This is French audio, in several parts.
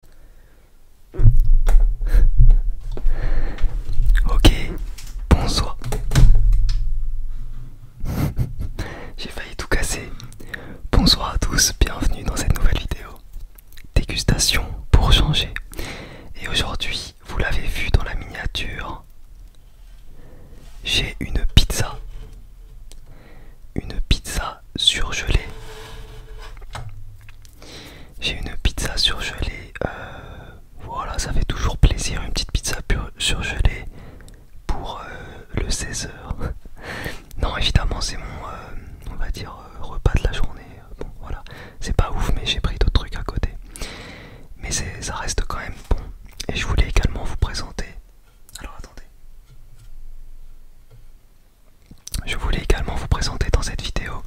Ok, bonsoir. J'ai failli tout casser. Bonsoir à tous, bienvenue dans cette nouvelle vidéo. Dégustation pour changer. Et aujourd'hui, vous l'avez vu dans la miniature, j'ai une pizza une pizza surgelée. J'ai une pizza surgelée. Euh, voilà, ça fait toujours plaisir une petite pizza surgelée pour euh, le 16h. non, évidemment, c'est mon, euh, on va dire, repas de la journée. Bon, voilà, c'est pas ouf, mais j'ai pris d'autres trucs à côté. Mais ça reste quand même bon. Et je voulais également vous présenter. Alors attendez. Je voulais également vous présenter dans cette vidéo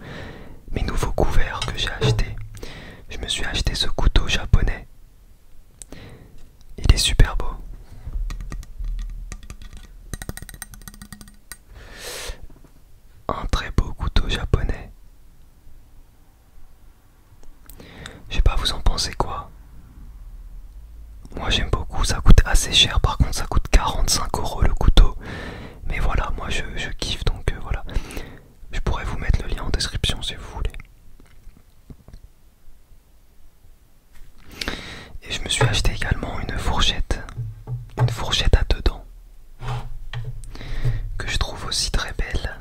mes nouveaux couverts que j'ai achetés. Je me suis acheté ce couteau japonais. Il est super beau. Un très beau couteau japonais. Je sais pas, vous en pensez quoi moi j'aime beaucoup, ça coûte assez cher, par contre ça coûte 45 euros le couteau. Mais voilà, moi je, kiffe donc euh, voilà. Je pourrais vous mettre le lien en description si vous voulez. Et je me suis acheté également une fourchette, une fourchette à deux dents, que je trouve aussi très belle.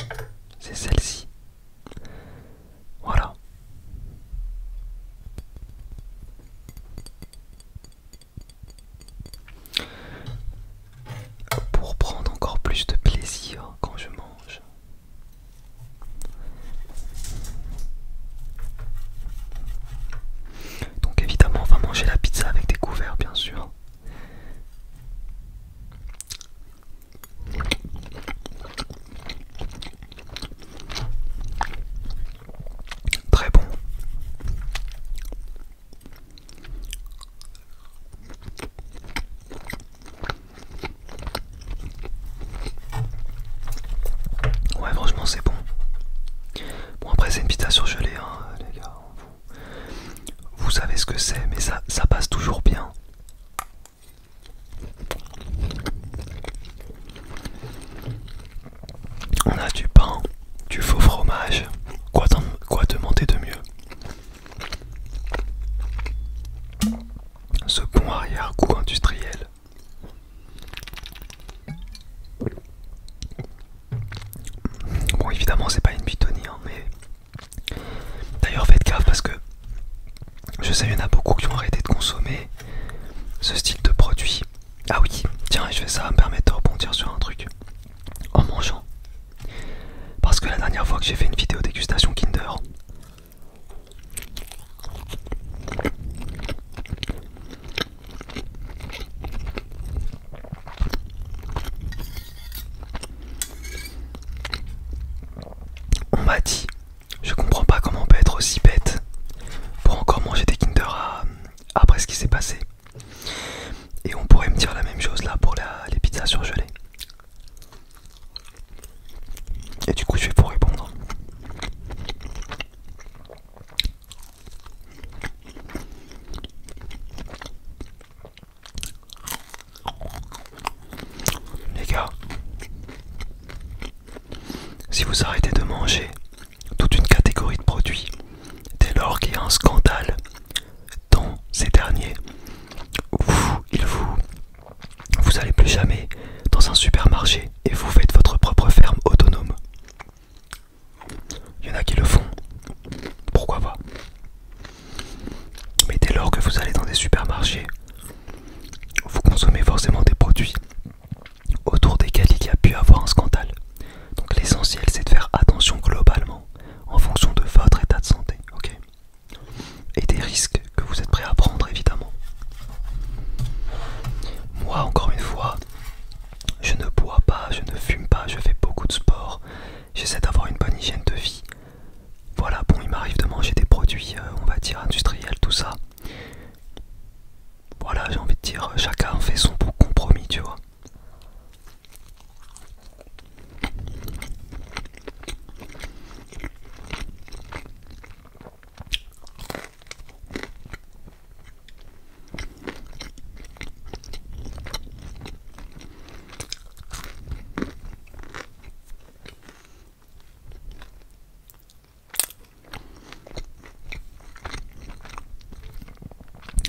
C'est celle-ci. Voilà. Pour prendre encore plus de plaisir quand je mange. Donc évidemment on va manger la pizza avec des couverts bien sûr. Très bon. Ouais, franchement, c'est bon. Bon, après, c'est une pita surgelée, hein, les gars. Vous, savez ce que c'est, mais ça passe toujours bien. On a du pain, du faux fromage. Quoi, demander de mieux Ce bon arrière-goût industriel. Bon, évidemment, c'est pas une bitonie, hein, mais d'ailleurs, faites gaffe parce que je sais, il y en a beaucoup qui ont arrêté de consommer ce style de produit. Ah oui, tiens, je fais ça me permettre de rebondir sur un truc. En mangeant. Parce que la dernière fois que j'ai fait une vidéo dégustation Kinder, on m'a dit je comprends pas comment on peut être aussi bête pour encore manger des Kinder euh, après ce qui s'est passé. Et on pourrait me dire la même chose là pour les pizzas surgelées. Et du coup, je vais vous répondre. Les gars, si vous arrêtez de manger toute une catégorie de produits, dès lors qu'il y a un scandale dans ces derniers, vous, il vous, vous allez plus jamais dans un supermarché et vous faites votre propre ferme autonome. Il y en a qui le font, pourquoi pas. Mais dès lors que vous allez dans des supermarchés, vous consommez forcément des produits autour desquels il y a pu avoir un scandale. Donc l'essentiel c'est de faire attention globalement en fonction de votre état de santé, ok Et des risques que vous êtes prêt à prendre évidemment. Moi encore une fois, je ne bois pas, je ne fume pas, je fais beaucoup de sport, j'essaie d'avoir une bonne hygiène de vie. Voilà, bon, il m'arrive de manger des produits, euh, on va dire, industriels, tout ça. Voilà, j'ai envie de dire, euh, chacun fait son bon compromis, tu vois.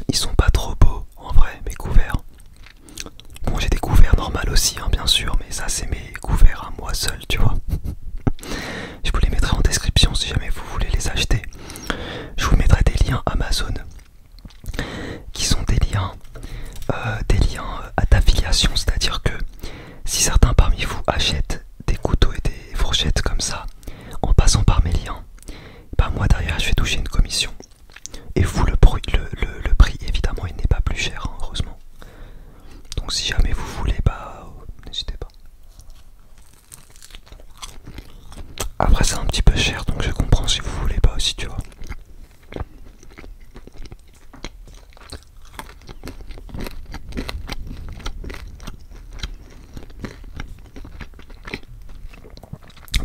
Ils sont pas trop beaux en vrai, mes couverts. Bon, j'ai des couverts normales aussi, hein, bien sûr, mais ça, c'est mes couverts à moi seul, tu vois. Je vous les mettrai en description si jamais vous voulez les acheter. Je vous mettrai des liens Amazon qui sont des liens, euh, des liens à euh, d'affiliation, c'est-à-dire que si certains parmi vous achètent des couteaux et des fourchettes comme ça, en passant par mes liens, bah moi derrière je vais toucher une commission. Et vous le, le, prix évidemment il n'est pas plus cher hein, heureusement. Donc si jamais vous voulez bah n'hésitez pas. Après c'est un petit peu cher donc je comprends si vous voulez pas aussi tu vois.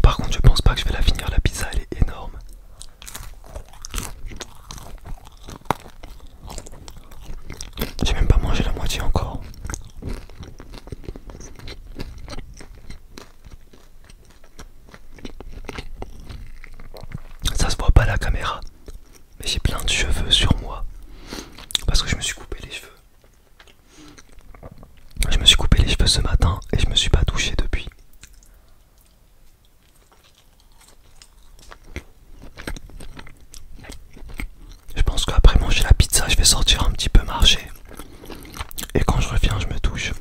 Par contre, je pense pas que je vais la finir. La pizza, elle est énorme. J'ai même pas mangé la moitié encore. Ça se voit pas la caméra, mais j'ai plein de cheveux sur moi parce que je me suis coupé les cheveux. Je me suis coupé les cheveux ce matin et je me suis pas touché depuis. Je pense qu'après manger la pizza, je vais sortir un petit peu marcher. Et quand je reviens, je me touche.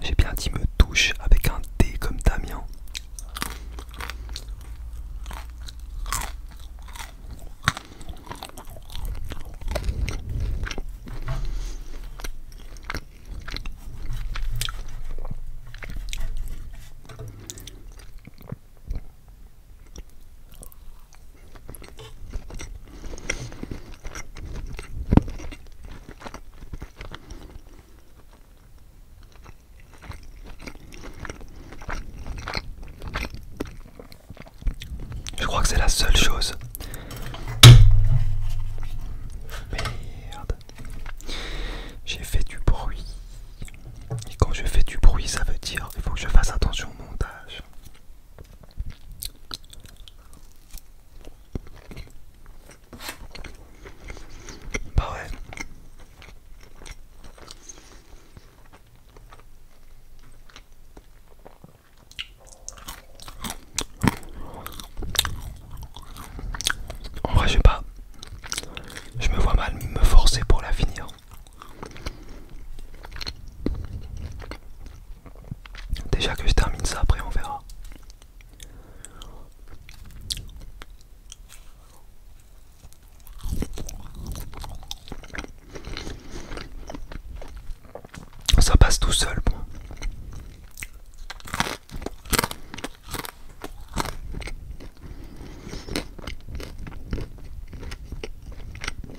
J'ai bien dit me touche avec un D comme Damien. Je crois que c'est la seule chose. Merde. J'ai fait du bruit. Et quand je fais du bruit, ça veut dire qu'il faut que je fasse attention au montage. Bah ouais. En vrai, je pas. Je me vois mal me forcer pour la finir. Déjà que je termine ça, après on verra. Ça passe tout seul,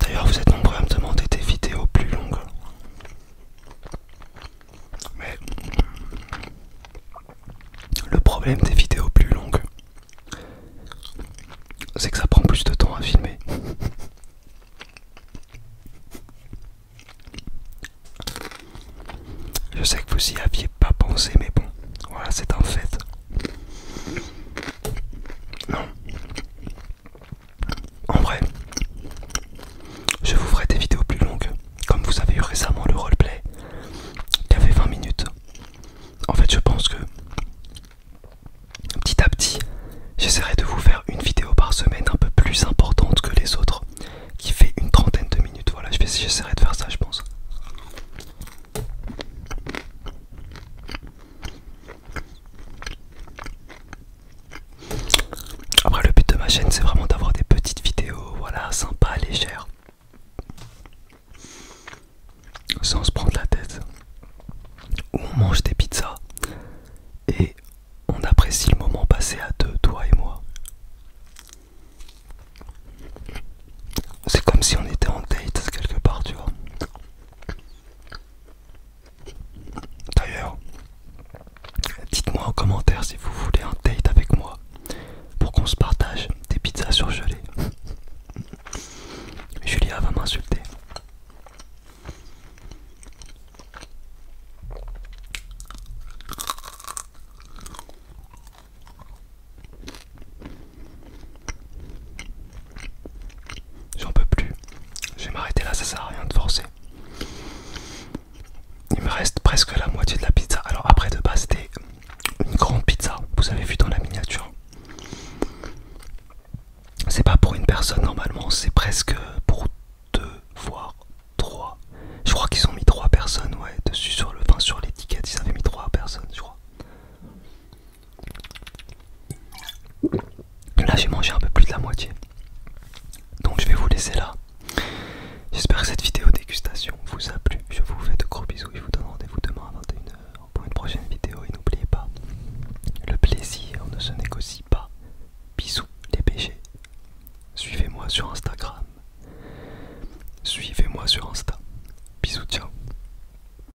D'ailleurs, vous êtes nombreux à me demander des vidéos plus longues. Mais le problème des vidéos plus longues, c'est que ça prend plus de temps à filmer. Je sais que vous y aviez pas pensé, mais bon, voilà, c'est un fait. Non, en vrai, je vous ferai des vidéos plus longues, comme vous avez eu récemment le roleplay qui fait 20 minutes. En fait, je pense que petit à petit, j'essaierai de vous faire une vidéo par semaine un peu plus importante que les autres, qui fait une trentaine de minutes. Voilà, j'essaierai de faire ça, je pense. Après le but de ma chaîne c'est vraiment d'avoir des petites vidéos, voilà, sympa légères. Sans se prendre la tête. Où on mange des pizzas et on apprécie le moment passé à deux, toi et moi. C'est comme si on était en date quelque part, tu vois. D'ailleurs, dites-moi en commentaire si vous voulez un date avec moi pour qu'on se partage des pizzas surgelées. Julia va m'insulter. J'en peux plus. Je vais m'arrêter là, ça sert à rien de forcer. Il me reste presque la moitié de la pizza. Alors après de base c'était une grande pizza. Vous avez vu dans la miniature. C'est pas pour une personne normalement, c'est presque pour deux voire trois. Je crois qu'ils ont mis trois personnes ouais dessus sur le. Enfin sur l'étiquette, ils avaient mis trois personnes, je crois. Là j'ai mangé un peu plus de la moitié. Donc je vais vous laisser là. J'espère que cette vidéo dégustation vous a plu. Je vous fais de gros bisous. Je vous donne rendez-vous demain à 21h pour une prochaine vidéo. Et n'oubliez pas, le plaisir ne se négocie pas. Bisous les péchés. Suivez-moi sur Instagram. Suivez-moi sur Insta. Bisous, ciao.